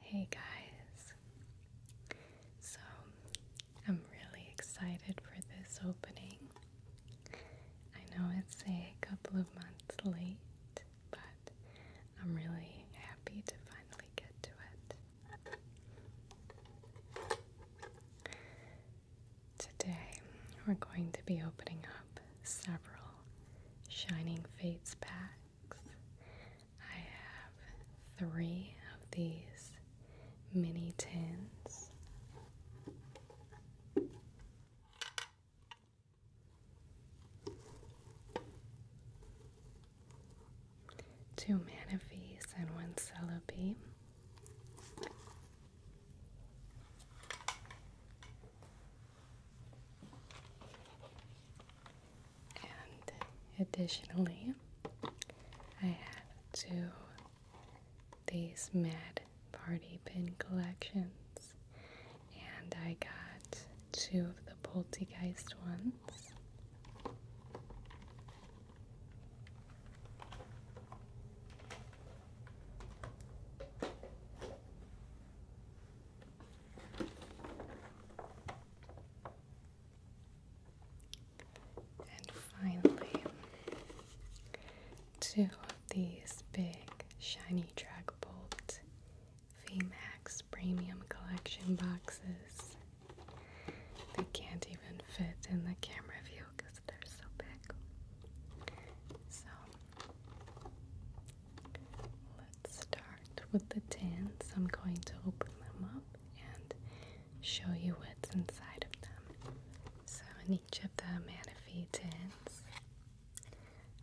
Hey guys, so I'm really excited for this opening. I know it's a couple of months late, but I'm really happy to finally get to it. Today, we're going to be opening up several Shining Fates packs. I have three of these mini tins. Two manifees, and one cellobe and additionally, I had two these Mad Party pin collections, and I got two of the Poltergeist ones. And finally, two of these big shiny Dragbolt VMAX Premium Collection boxes. They can't even fit in the camera view because they're so big. So, Let's start with the tins. I'm going to open them up and show you what's inside of them. So, in each of the Manaphy tins,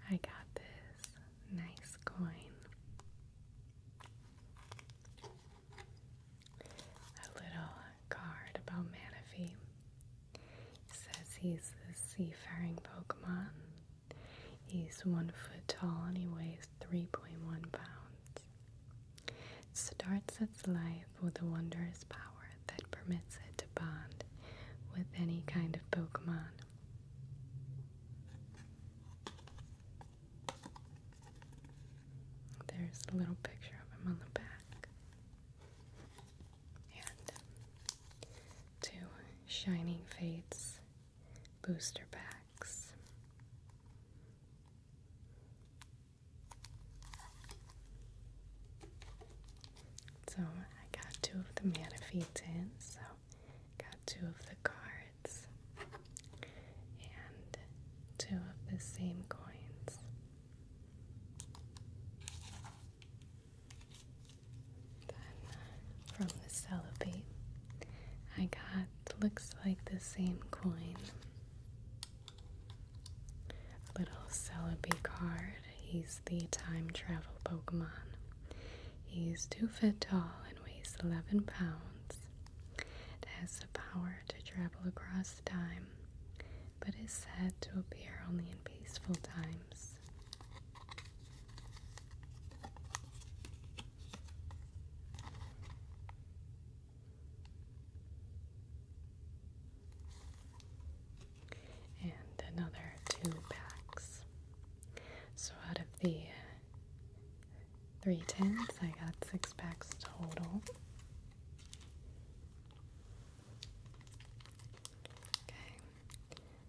I got this nice coin. A little card about Manaphy. says he's the seafaring Pokemon. He's one foot tall and he weighs 3.1 pounds. starts its life with a wondrous power that permits it to bond with any kind of Pokemon. There's a little picture of him on the back. And two shining fates booster packs. So I got two of the mana feeds in, so got two of the cards and two of the same coins from the cellophane, I got looks like the same coin. Little Celebi card. He's the time travel Pokemon. He's two feet tall and weighs 11 pounds. It has the power to travel across time, but is said to appear only in peaceful times and another two packs. So out of the uh, three tins, I got six packs total. Okay,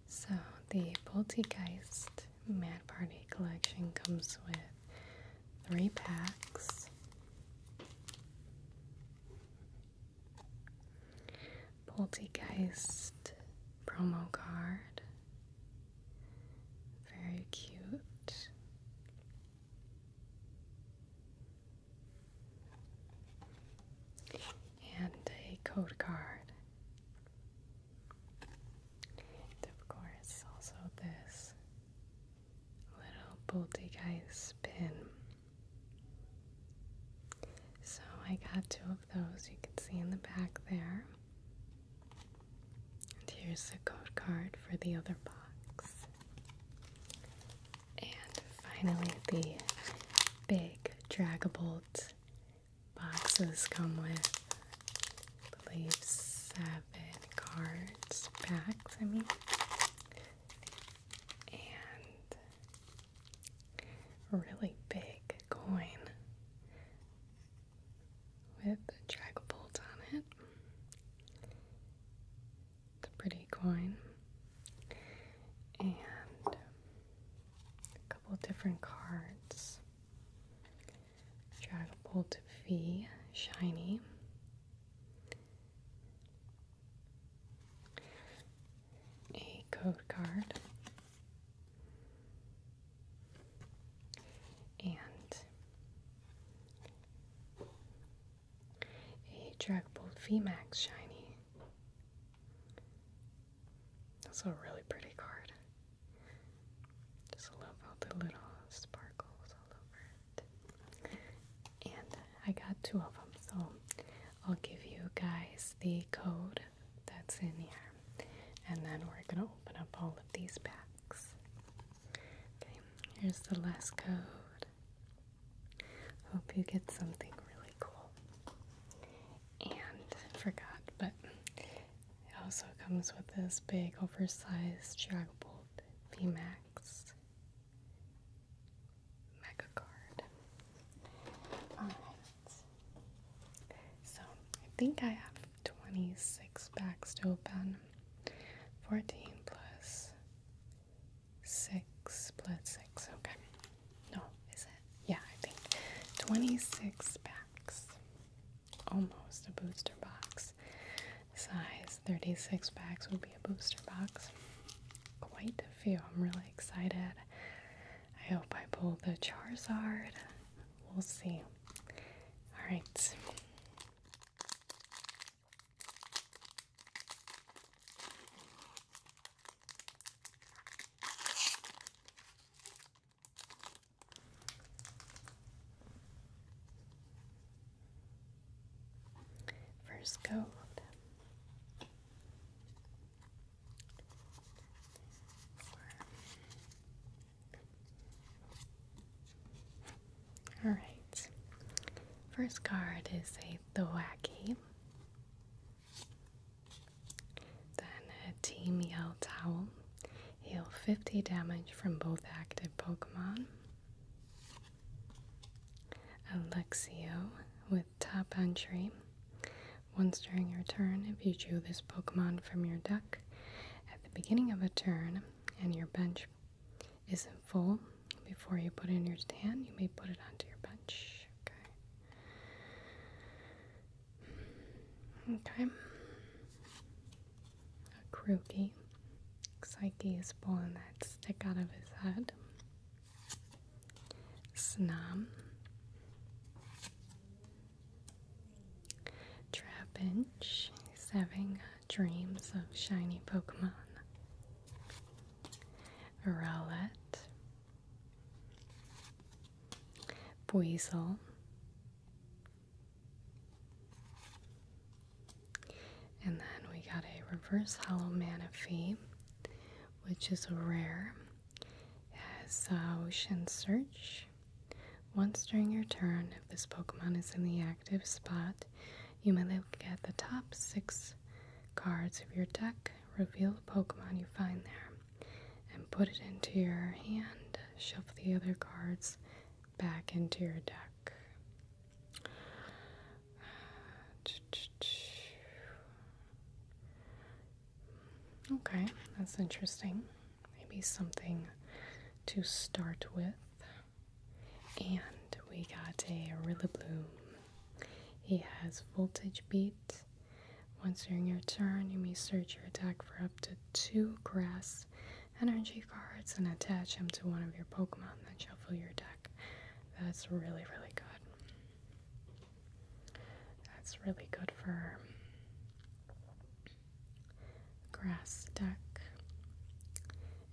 so the Poltegeist Mad Party collection comes with three packs. Poltergeist promo card. Very cute. And a code card. And of course, also this little bolty guy's pin. So I got two of those, you can see in the back there. And here's the code card for the other box. And finally, the big bolt boxes come with, believe, seven cards, packs, I mean. And really big coin with a bolt on it. It's a pretty coin. And a couple different cards. Dragapult V Shiny. A code card. And a Dragapult Max Shiny. That's a really pretty card. Just love all the little sparkles all over it. And I got two of them, so I'll give you guys the code that's in here. And then we're going to open up all of these packs. Okay, here's the last code. Hope you get something really cool. And forgot, but it also comes with this big oversized Jagobolt VMAX mega card. Alright. So I think I have 26 packs to open. 14 plus 6 plus 6. Okay. No, is it? Yeah, I think 26 packs almost a booster box size. 36 packs would be a booster box. Quite a few. I'm really excited. I hope I pull the Charizard. We'll see. Alright. First coat. All right. First card is a the wacky. Then a Team Yell Towel. Heal 50 damage from both active Pokemon. Alexio with Top Entry. Once during your turn, if you drew this Pokemon from your deck at the beginning of a turn and your bench isn't full, before you put it in your stand, you may put it onto your bench. Okay. A crookie. Psyche is pulling that stick out of his head. Snom. Trapinch is having dreams of shiny Pokemon. Rowlet. Buizel. And then we got a reverse hollow manaphy, which is rare. It has uh, Ocean Search. Once during your turn, if this Pokemon is in the active spot, you may look at the top six cards of your deck, reveal the Pokemon you find there and put it into your hand. Shove the other cards back into your deck. Okay, that's interesting. Maybe something to start with. And we got a Rilla Bloom. He has Voltage Beat. Once during your turn, you may search your deck for up to two grass energy cards and attach them to one of your Pokemon Then shuffle your deck. That's really, really good. That's really good for grass deck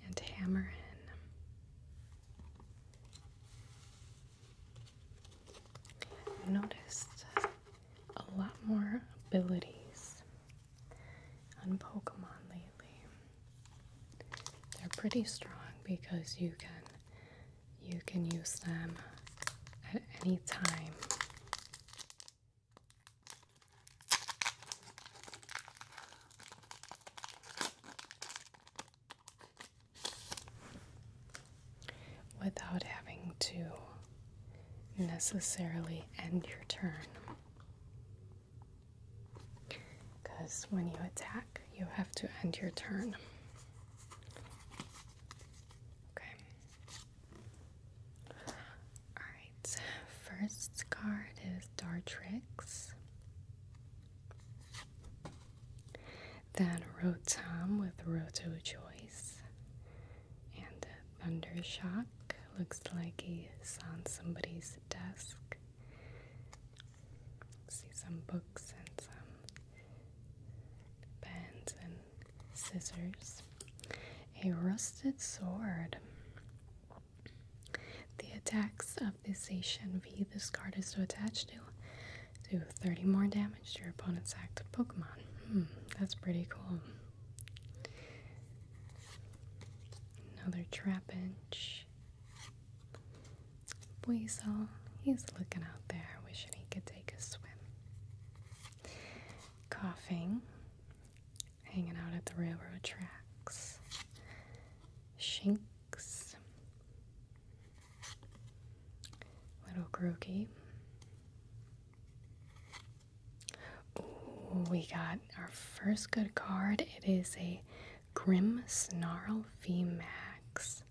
and hammer in. noticed a lot more abilities on Pokemon lately. They're pretty strong because you can you can use them at any time. Without having to necessarily end your turn. Because when you attack, you have to end your turn. Okay. Alright, first card is Dartrix. Then Rotom with Roto Choice. And Thunder Shock Looks like he's on somebody's desk. See some books and some pens and scissors. A rusted sword. The attacks of this V. this card is so attached to do 30 more damage to your opponent's active Pokemon. Hmm, that's pretty cool. Another trapinch. Weasel, he's looking out there, wishing he could take a swim. Coughing, hanging out at the railroad tracks. Shinks, little groggy we got our first good card. It is a Grim Snarl V Max,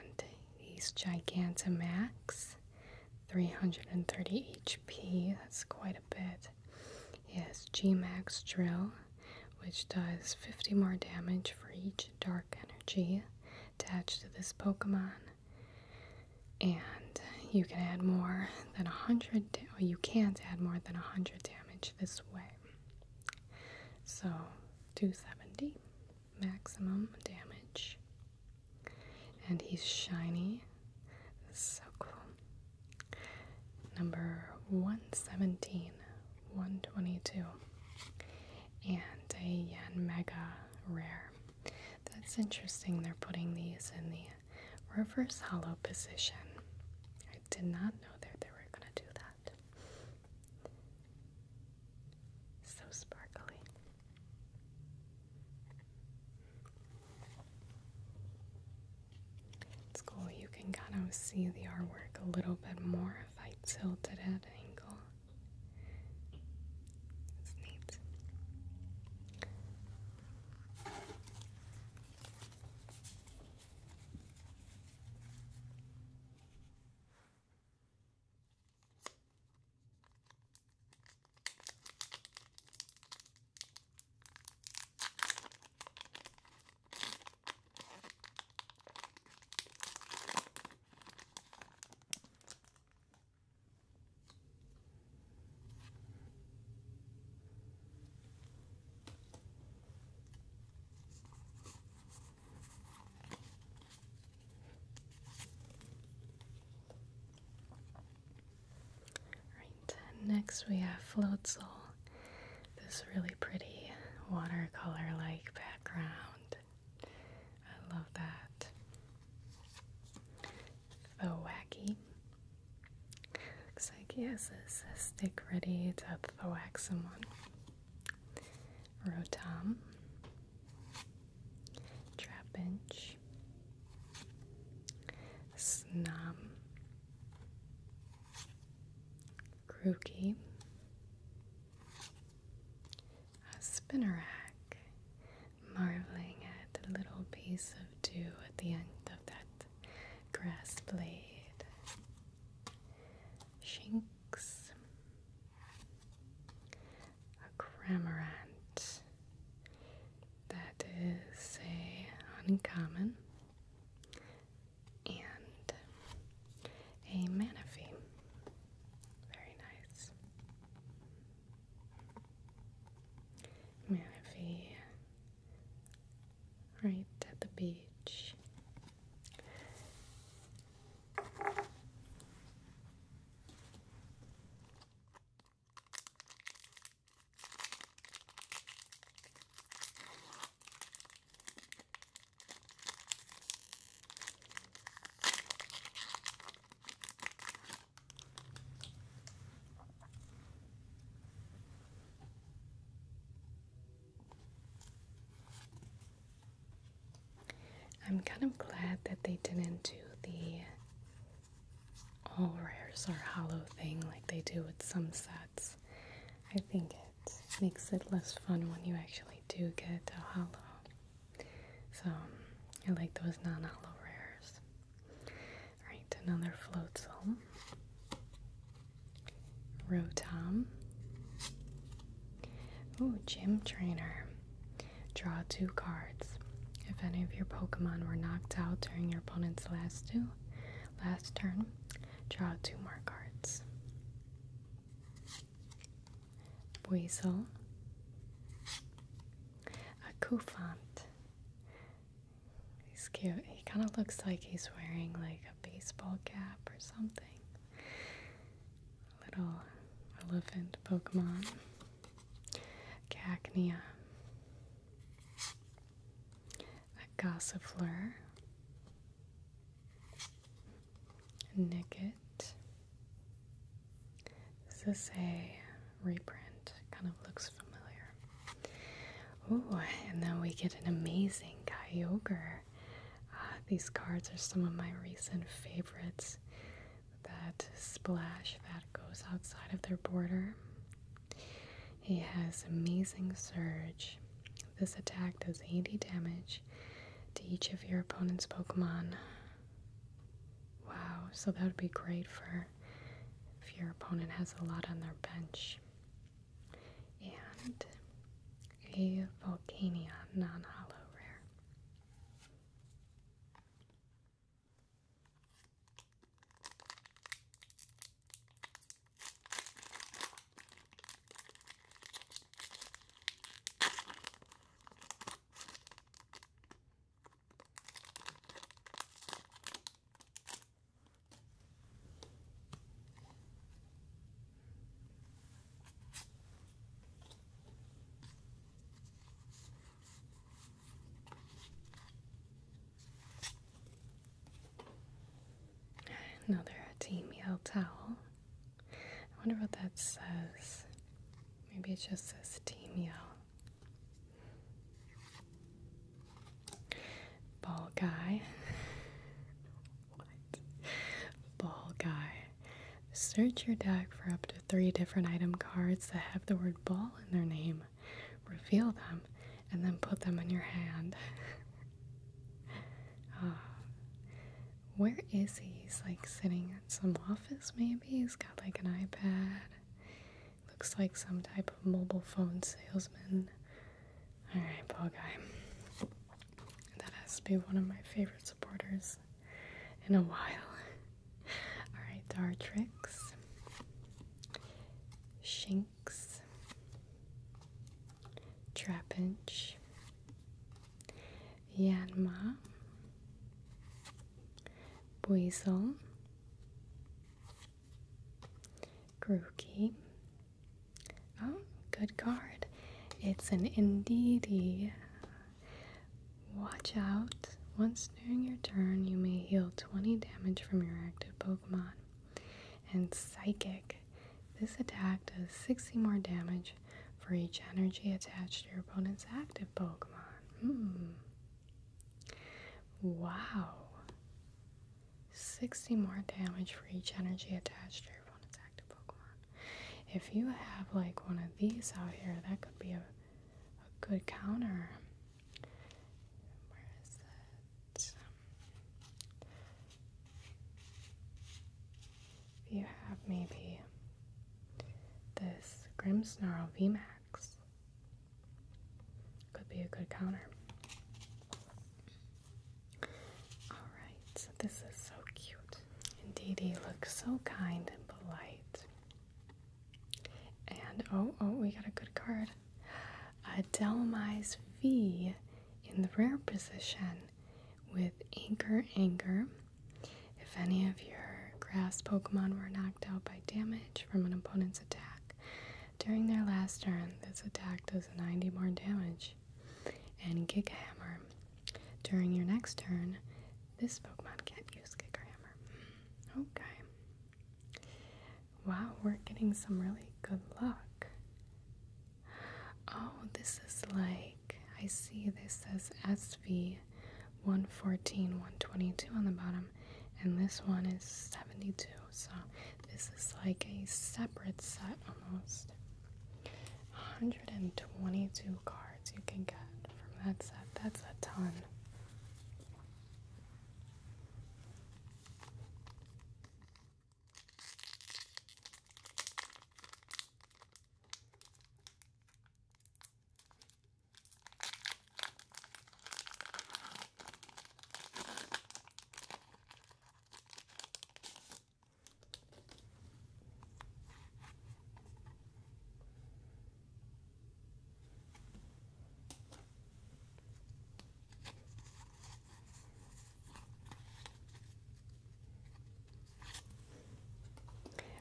And he's Gigantamax. 330 HP. That's quite a bit. He has Max Drill, which does 50 more damage for each dark energy attached to this Pokemon and you can add more than 100 or you can't add more than 100 damage this way so 270 maximum damage and he's shiny so cool number 117 122 and a yen mega rare that's interesting. They're putting these in the reverse hollow position. I did not know that they were going to do that. So sparkly. It's cool. You can kind of see the artwork a little bit more if I tilt it at an angle. That's neat next we have Floatzel, this really pretty watercolor like background. I love that though wacky. Looks like he has his stick ready to thwack someone. Rotom, Trapinch, Snom, Grookey, Spinnerack, marveling at the little piece of dew at the end of that grass blade. Shinx, a Cramorant. That is a uncommon and a Manaphy. Very nice. Maybe right at the beach. I'm kind of glad that they didn't do the all rares or hollow thing like they do with some sets. I think it makes it less fun when you actually do get a hollow. So I like those non-hollow rares. Alright, another Floatzel. Rotom. Oh, Gym Trainer. Draw two cards. If any of your Pokemon were knocked out during your opponent's last two, last turn, draw two more cards. Weasel, a kufant. He's cute. He kind of looks like he's wearing like a baseball cap or something. Little elephant Pokemon. Cacnea. A Gossifleur. Nicket. This is a reprint, kind of looks familiar. Ooh, and then we get an amazing Kyogre. Ah, these cards are some of my recent favorites. That splash that goes outside of their border. He has amazing surge. This attack does 80 damage to each of your opponent's Pokemon. Wow, so that would be great for if your opponent has a lot on their bench. And a Volcanion non hollow rare. Another team towel. I wonder what that says. Maybe it just says team Ball guy. what? Ball guy. Search your deck for up to three different item cards that have the word ball in their name. Reveal them and then put them in your hand. Ah. where is he? He's like sitting in some office, maybe? He's got like an iPad Looks like some type of mobile phone salesman. Alright, Paul Guy. That has to be one of my favorite supporters in a while. Alright, Dartrix. Shanks, Trapinch. Yanma. Buizel, Grookey. Oh, good card. It's an Indeedee. Watch out. Once during your turn, you may heal 20 damage from your active Pokemon. And Psychic. This attack does 60 more damage for each energy attached to your opponent's active Pokemon. Hmm. Wow. 60 more damage for each energy attached to your opponent's Pokemon. If you have like one of these out here, that could be a, good counter. Where is that? you have maybe this Grim Grimmsnarl VMAX. Could be a good counter. Alright, this is so cute. Indeed, he looks so kind and polite. And oh, oh, we got a good card. A Delmise V in the rare position with Anchor Anger if any of your grass Pokemon were knocked out by damage from an opponent's attack during their last turn, this attack does 90 more damage. And Gigahammer, During your next turn, this Pokemon can't use Gigahammer. Hmm, okay. Wow, we're getting some really good luck. Oh, this is like, I see this as SV 114, 122 on the bottom, and this one is 72. So this is like a separate set almost. 122 cards you can get from that set. That's a ton.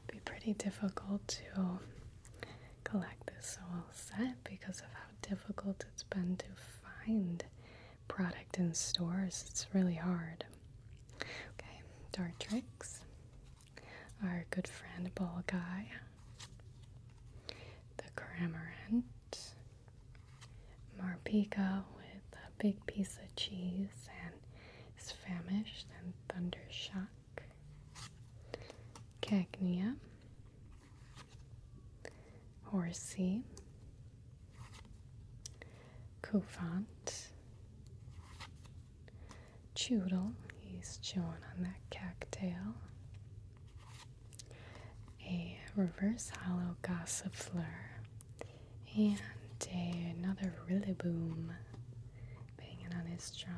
It'd be pretty difficult to collect is so set because of how difficult it's been to find product in stores. It's really hard. Okay, Dartrix, our good friend Ball Guy, the Cramorant, Marpico with a big piece of cheese and is famished, and Shot. Cagnia, Horsey, Coufant, Choodle, he's chewing on that cattail, a reverse hollow gossifleur, and another rillaboom banging on his drum.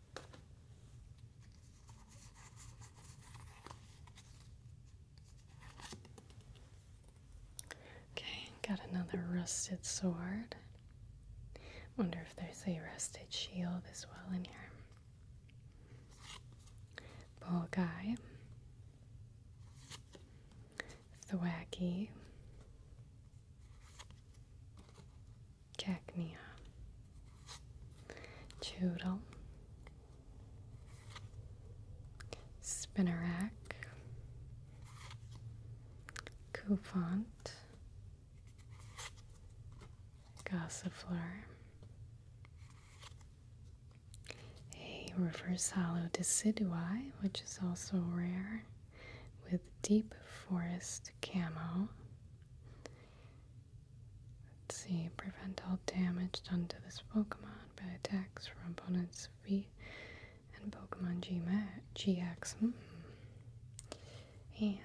Okay, got another rusted sword. Wonder if there's a rusted shield as well in here. Bull guy. Thwacky. Cacnea, Choodle, Spinnerack, Coupont, Gossiflor, a reverse hollow decidui, which is also rare, with deep forest camo, Let's see, prevent all damage done to this Pokemon by attacks from opponents V and Pokemon GX. Hmm. And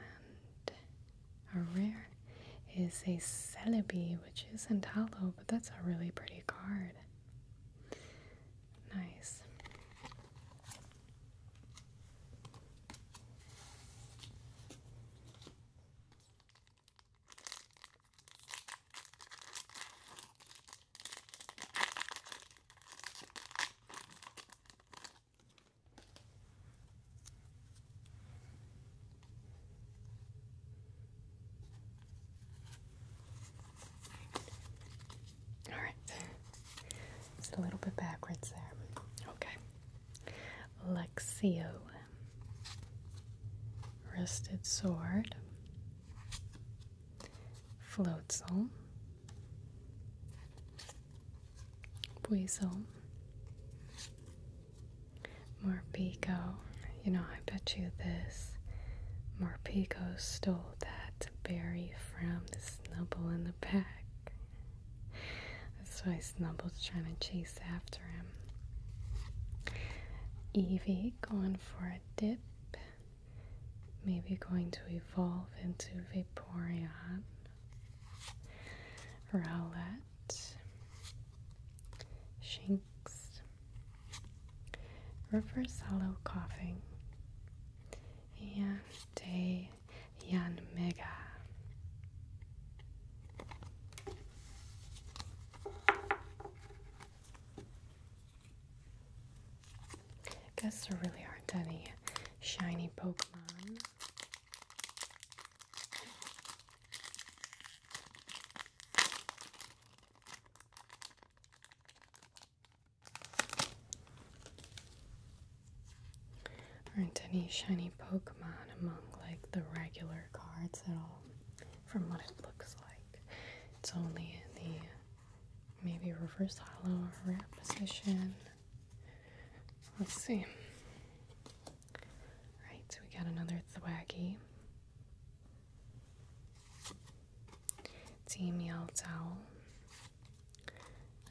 a rare is a Celebi, which isn't hollow, but that's a really pretty card. Nice. All right, it's a little bit backwards there. Okay. Lexio, Rusted Sword, Floatzel, Weasel, Morpico. You know, I bet you this Morpico stole that berry from the Snubble in the Pack. That's why Snubble's trying to chase after him. Evie going for a dip. Maybe going to evolve into Vaporeon. Rowlett. Shinx. Reverse hollow coughing. And a Jan Mega. guess there really aren't any shiny Pokemon aren't any shiny Pokemon among like the regular cards at all, from what it looks like. It's only in the maybe reverse hollow or rare position. Let's see. Right, so we got another Thwaggy. Team Yell Owl.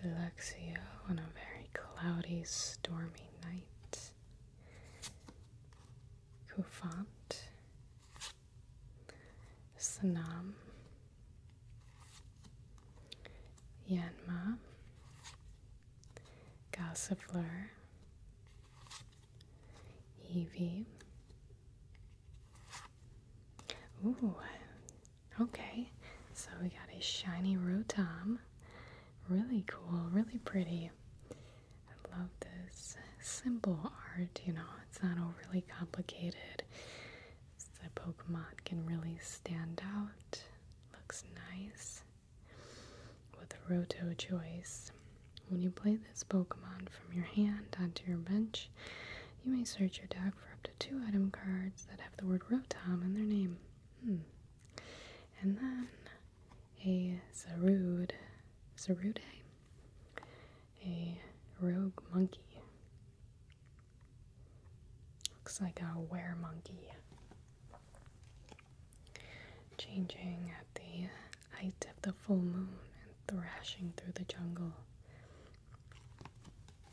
Alexia on a very cloudy, stormy night. Kufant, Sanam, Yanma, Gossifleur, Evie. Ooh, Okay, so we got a shiny Rotom. Really cool, really pretty. I love this simple art, you know, it's not overly complicated. So the Pokemon can really stand out. Looks nice. With a choice. When you play this Pokemon from your hand onto your bench, you may search your deck for up to two item cards that have the word Rotom in their name. Hmm. And then a Zarude, Zarude, a rogue monkey. Looks like a were monkey. Changing at the height of the full moon and thrashing through the jungle.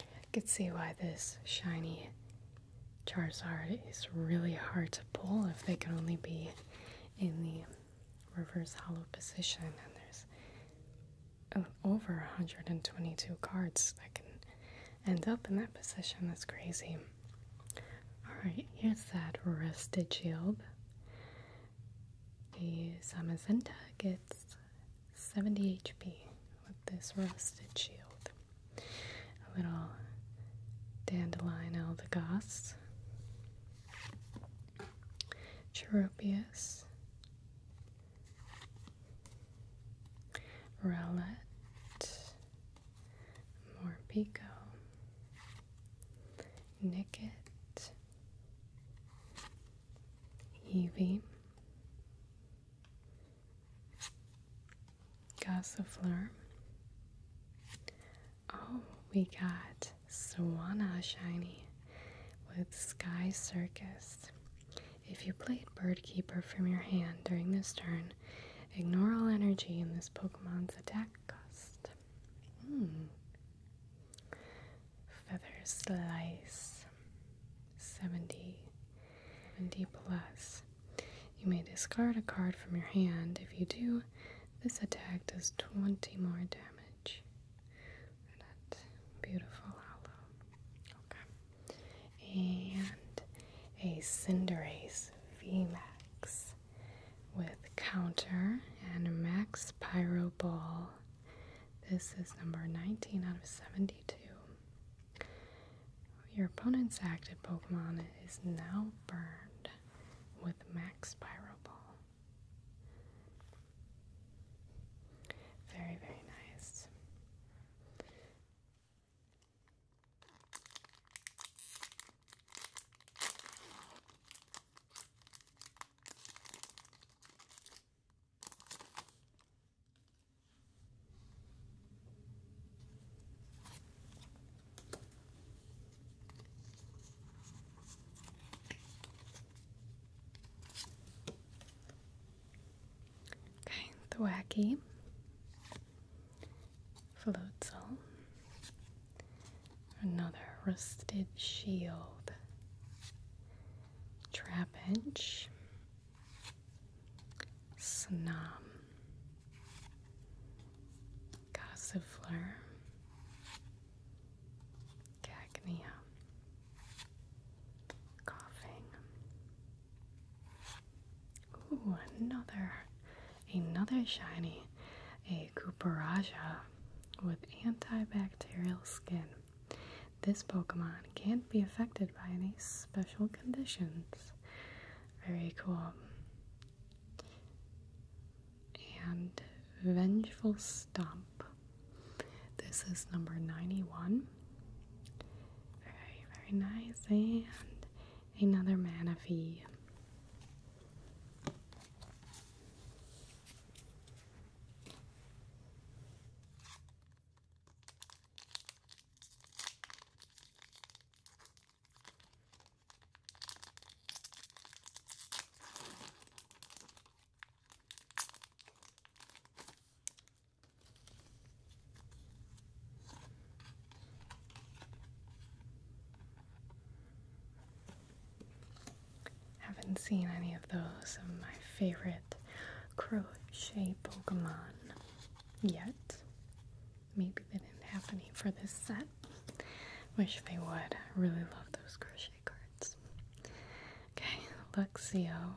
I could see why this shiny Charizard is really hard to pull if they can only be in the reverse hollow position and there's oh, over 122 cards that can end up in that position. That's crazy. Alright, here's that Rusted Shield. The Samazenta gets 70 HP with this rusted shield. A little dandelion aldegoss. Cherubius. Rowlett. Morpico. Nicket. Evie. Gossifleur. Oh, we got Swanna Shiny with Sky Circus. If you played Bird Keeper from your hand during this turn, ignore all energy in this Pokemon's attack cost. Hmm. Feather Slice plus 70, 70 plus. You may discard a card from your hand. If you do, this attack does 20 more damage. That beautiful hollow. Okay. And a Cinderace VMAX with counter and a max pyro ball. This is number 19 out of 72. Your opponent's active Pokemon is now burned with Max Spiral Ball. Very, very nice. Okay, the wacky floatzel, another rusted shield, trapinch, Snom, Gossifleur, Cagnia, Coughing. Ooh, another, another shiny, a Cooperaja with antibacterial skin. This Pokemon can't be affected by any special conditions. Very cool. And Vengeful Stomp. This is number 91. Very, very nice. And another mana fee. Haven't seen any of those of my favorite crochet Pokemon yet. Maybe they didn't have any for this set. Wish they would. I really love those crochet cards. Okay, Luxio,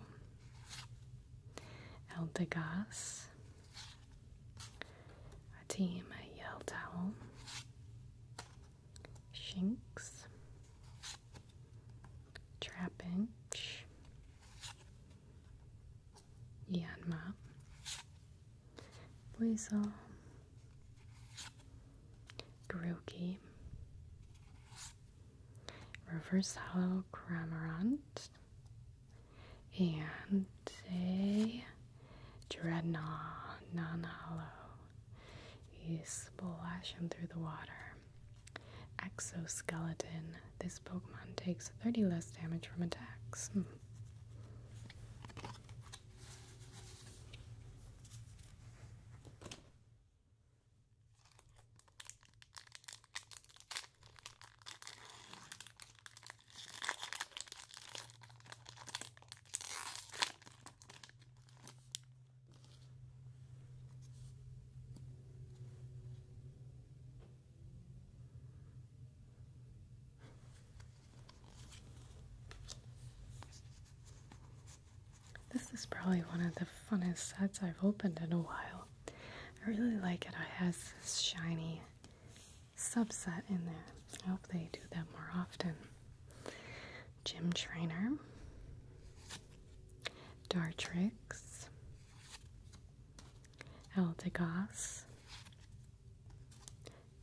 Eldegoss, a team, a Yell Towel, Shinx, Trapinch, ilyen már Buiza Grookey Reverse Hollow Cramorant and a Dreadnought non hollow. You splash through the water. Exoskeleton. This Pokemon takes 30 less damage from attacks. Hmm. This is probably one of the funnest sets I've opened in a while. I really like it. It has this shiny subset in there. I hope they do that more often. Gym Trainer, Dartrix, Eldegoss,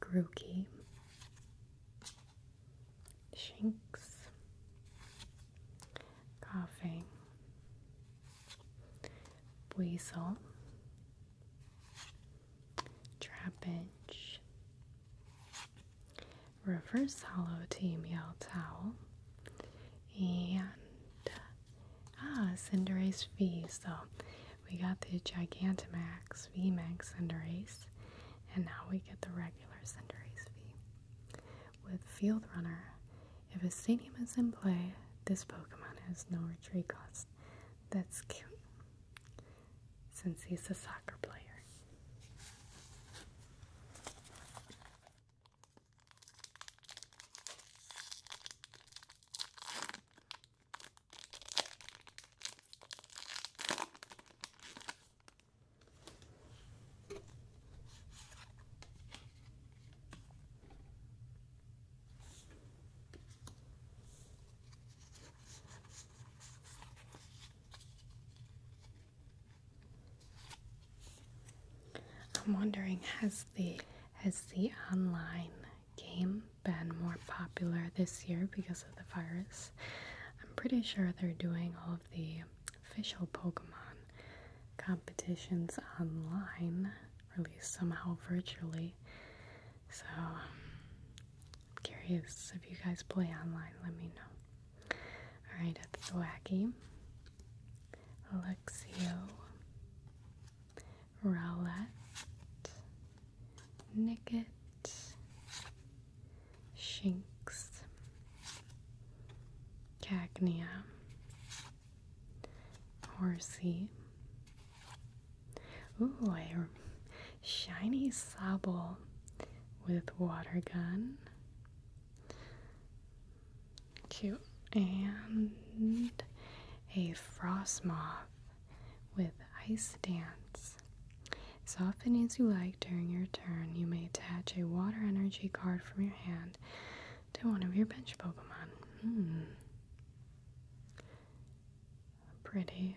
Grookey, Shinx, Coughing, Weasel, Trapinch, Reverse Hollow Team Towel, and uh, Ah, Cinderace V. So we got the Gigantamax VMAX Cinderace, and now we get the regular Cinderace Fee. With Field Runner, if a stadium is in play, this Pokemon has no retreat cost. That's cute, since he's a soccer player. I'm wondering, has the has the online game been more popular this year because of the virus? I'm pretty sure they're doing all of the official Pokemon competitions online, or at least somehow virtually. So, I'm curious if you guys play online, let me know. Alright, it's Wacky, Alexio, Rowlett, Nicket, Shinks, Cagnia, Horsey. Ooh, a shiny sable with water gun. Cute. And a frost moth with ice dance. As often as you like during your turn, you may attach a water energy card from your hand to one of your bench Pokemon. Hmm. Pretty.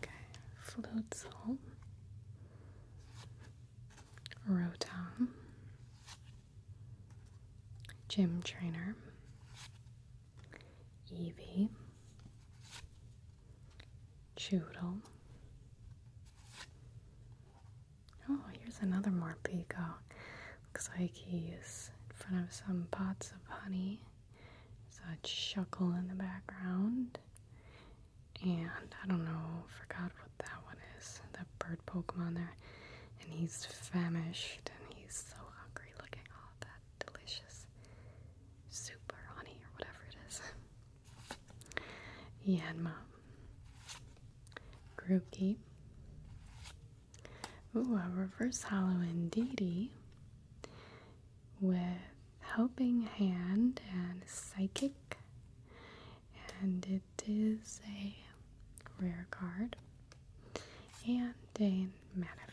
Okay, Flutzel, Rotom, Gym Trainer, Evie, Choodle. Oh, here's another Morpeko. Looks like he's in front of some pots of honey. So a chuckle in the background. And I don't know, forgot what that one is. That bird Pokemon there. And he's famished and he's so hungry looking. Oh, that delicious soup or honey or whatever it is. yeah, and mom. Grookey. Ooh, a reverse hollow in Dee with helping hand and psychic, and it is a rare card and a Manaphy.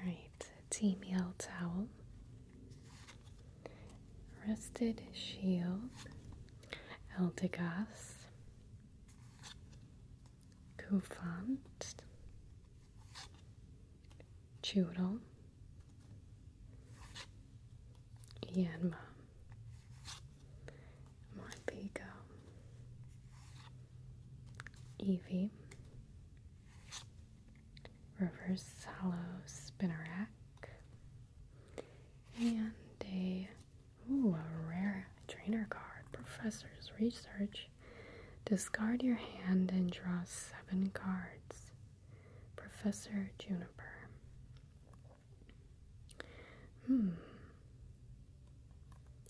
Alright, tea towel, rusted shield, Eldegoss, Kufant, Chudel, Yanma, my big um, Eevee, Reverse Hollow Spinnerack, and a, ooh, a rare trainer card, Professor's Research. Discard your hand and draw seven cards. Professor Juniper. Hmm,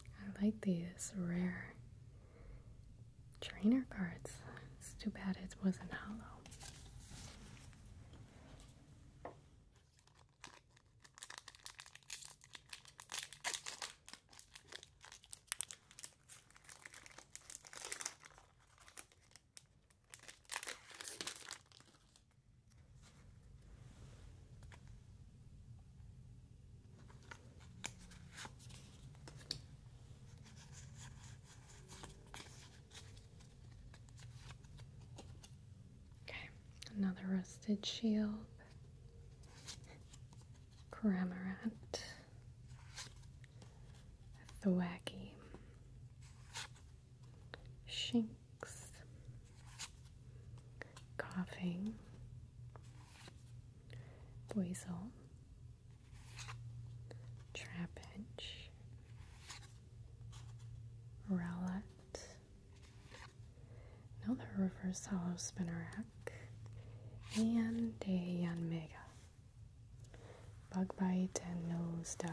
I like these rare trainer cards. It's too bad it wasn't hollow. Okay, another rusted shield, Cramorant, Thwacky, Shinx, coughing, weasel, trapinch, relic, another reverse hollow spinnerack, and a Yanmega. Bug bite and nose dive.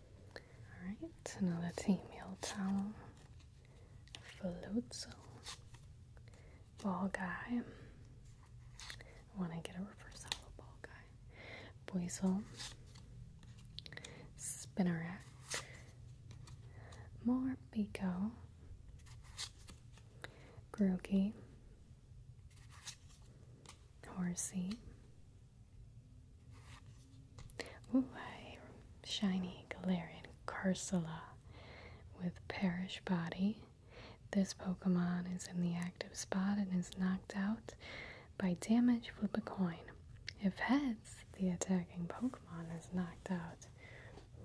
Alright, another female towel. Flutzel. Ball guy. I want to get a reverse hollow ball guy. Boisel. spinneret. More Pico. Grookey. Horsey. Ooh, shiny Galarian Cursula with Perish Body. This Pokemon is in the active spot and is knocked out by damage. Flip a coin. If heads, the attacking Pokemon is knocked out.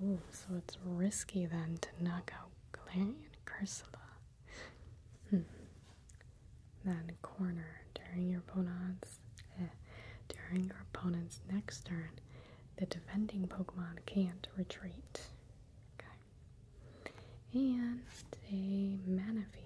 Ooh, so it's risky then to knock out Galarian Cursula. Hmm. Then corner during your opponent's eh, during your opponent's next turn, the defending Pokemon can't retreat. Okay. And a Manaphy. Okay.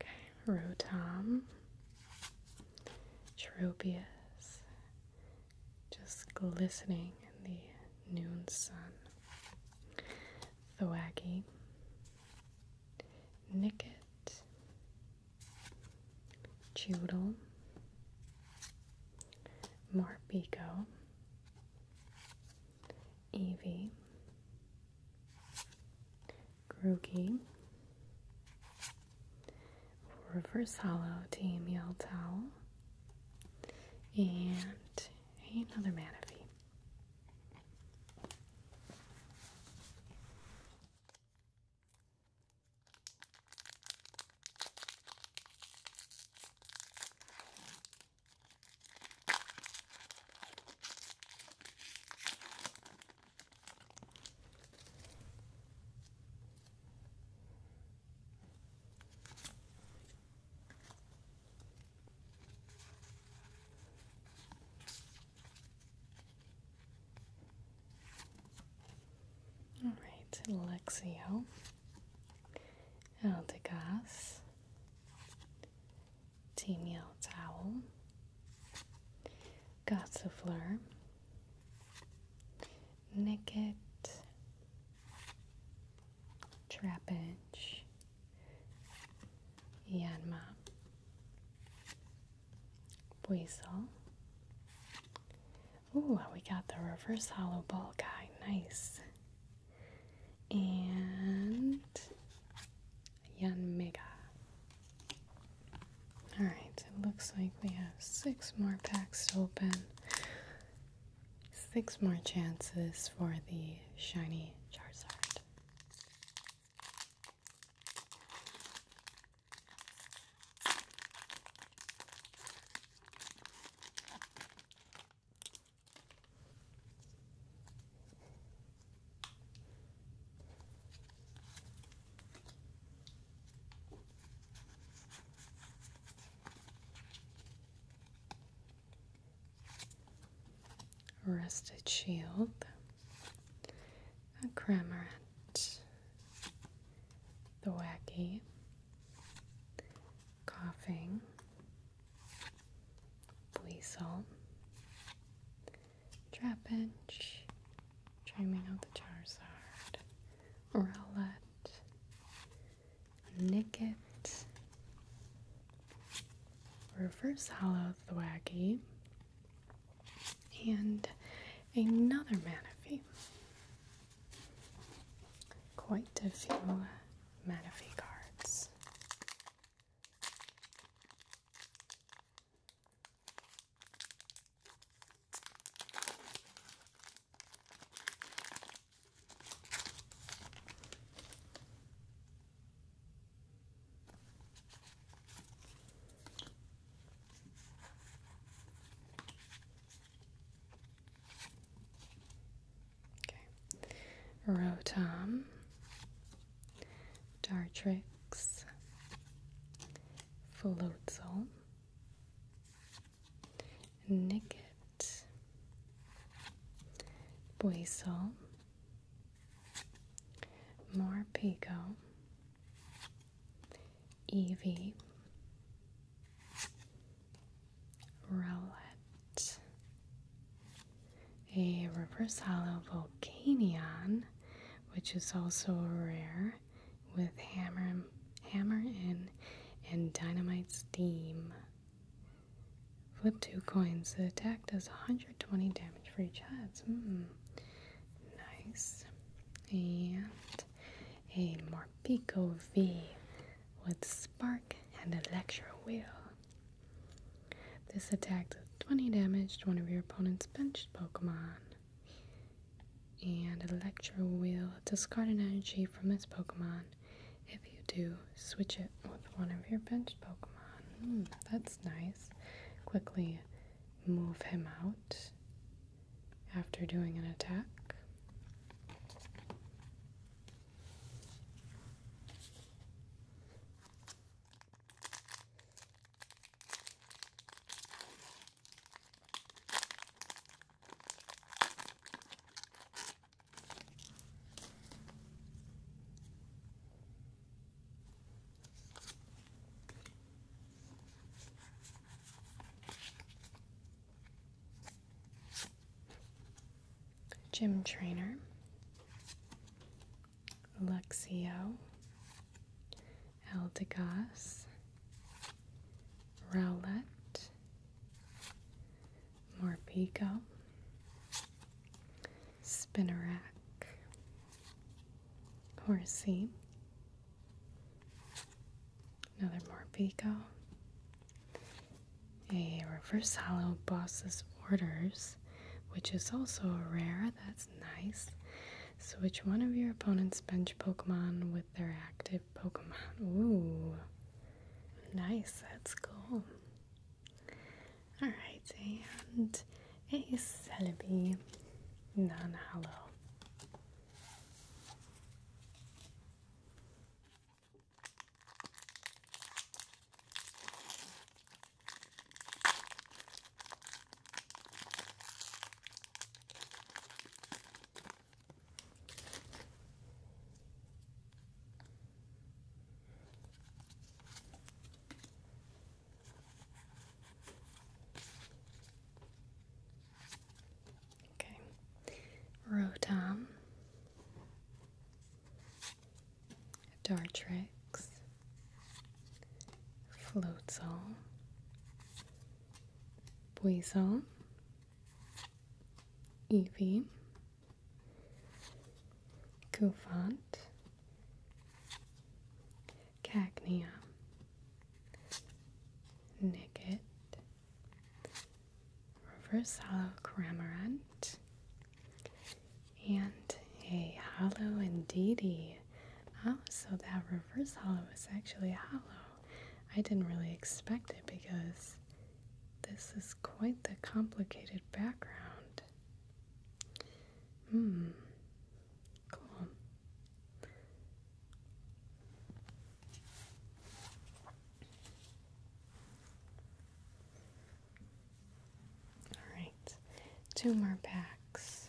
Okay, Rotom, Tropius, just glistening in the noon sun. Thwaggy, Nicket, Choodle, Marpico, Evie. Grogi, Reverse Hollow Team Amiel Towel, and another Manaphy. All right, Alexio, El de Tenial towel, Gossifleur, Nicket, Trapage, Yanma, Buizel. Ooh, we got the reverse hollow ball guy. Nice. And Yanmega. Alright, it looks like we have six more packs to open. Six more chances for the shiny Charizard. Rusted Shield, a Cramorant, the Wacky, Coughing, Weasel, Trapinch, Dreaming of the Charizard, Rowlet, Nicket, Reverse Hollow Thwaggy, and another Manaphy. Quite a few Manaphy cards. Okay. Rotom Dartrix, Floatzel, Nicket, Boisol, Morpico, Evie, Rowlett, a reverse hollow Volcanion, which is also rare, with hammer, hammer in and dynamite steam. Flip two coins. The attack does 120 damage for each odds. Hmm. Nice. And a Morpico V with Spark and Electro Wheel. This attack does 20 damage to one of your opponent's bench Pokemon. And Electro will discard an energy from its Pokemon. If you do, switch it with one of your bench Pokemon. Hmm, that's nice. Quickly move him out after doing an attack. Gym trainer, Alexio, Eldegoss, Rowlet, Morpeko, Spinnerack, Horsey, another Morpeko, a reverse hollow boss's orders which is also a rare. That's nice. Switch one of your opponent's bench Pokemon with their active Pokemon. Ooh. Nice. That's cool. Alright, and a Celebi non hollow. Okay, Rotom, Dartrix, Floatzel, Buizel, Eevee, Cufant, Cagnia, Nicket, Reverse Hollow Cramorant, and a hollow indeedy. Oh, so that reverse hollow was actually hollow. I didn't really expect it because this is quite the complicated background. Hmm. Cool. All right. Two more packs.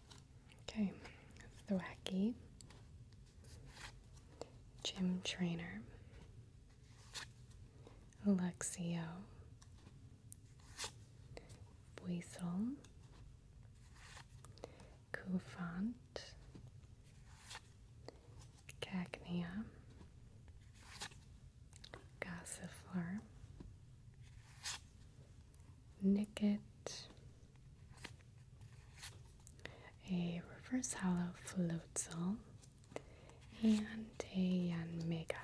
Okay, Thwacky, Jim Trainer, Alexio, Buisel, Kufant, Cacnea, Gossifler, Nicket, a reverse hollow Floatzel, and a Yanmega.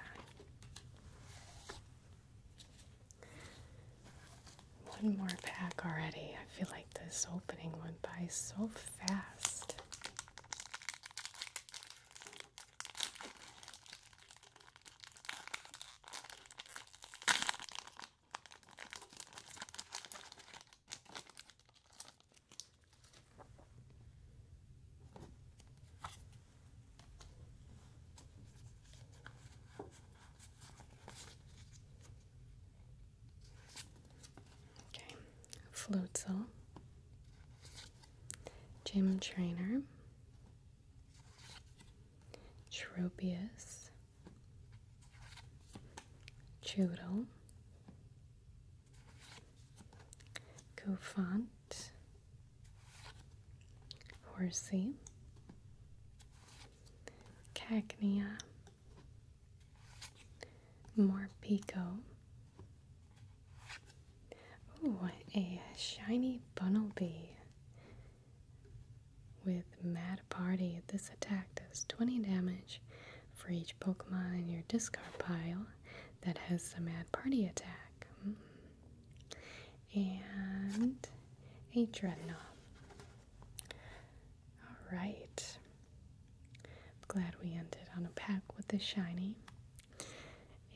One more pack already. I feel like this opening went by so fast. Okay, cell, Gym Trainer, Tropius, Chudel, Cofont, Horsey, Cagnia, Morpico. Ooh, a shiny Bunnelby with Mad Party. This attack does 20 damage for each Pokemon in your discard pile that has the Mad Party attack. Mm. And a Dreadnought. Alright. I'm glad we ended on a pack with a shiny.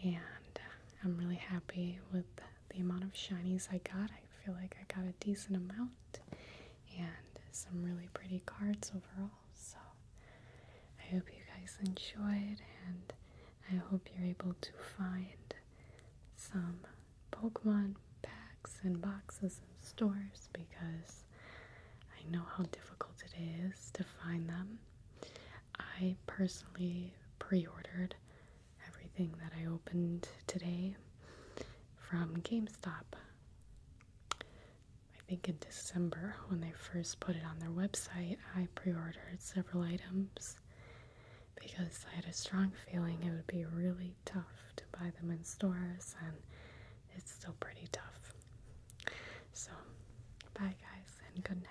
And uh, I'm really happy with the amount of shinies I got. I feel like I got a decent amount and some really pretty cards overall. So I hope you guys enjoyed and I hope you're able to find some Pokemon packs and boxes in stores because I know how difficult it is to find them. I personally pre ordered everything that I opened today from GameStop. I think in December, when they first put it on their website, I pre ordered several items because I had a strong feeling it would be really tough to buy them in stores, and it's still pretty tough. So, bye guys, and good night.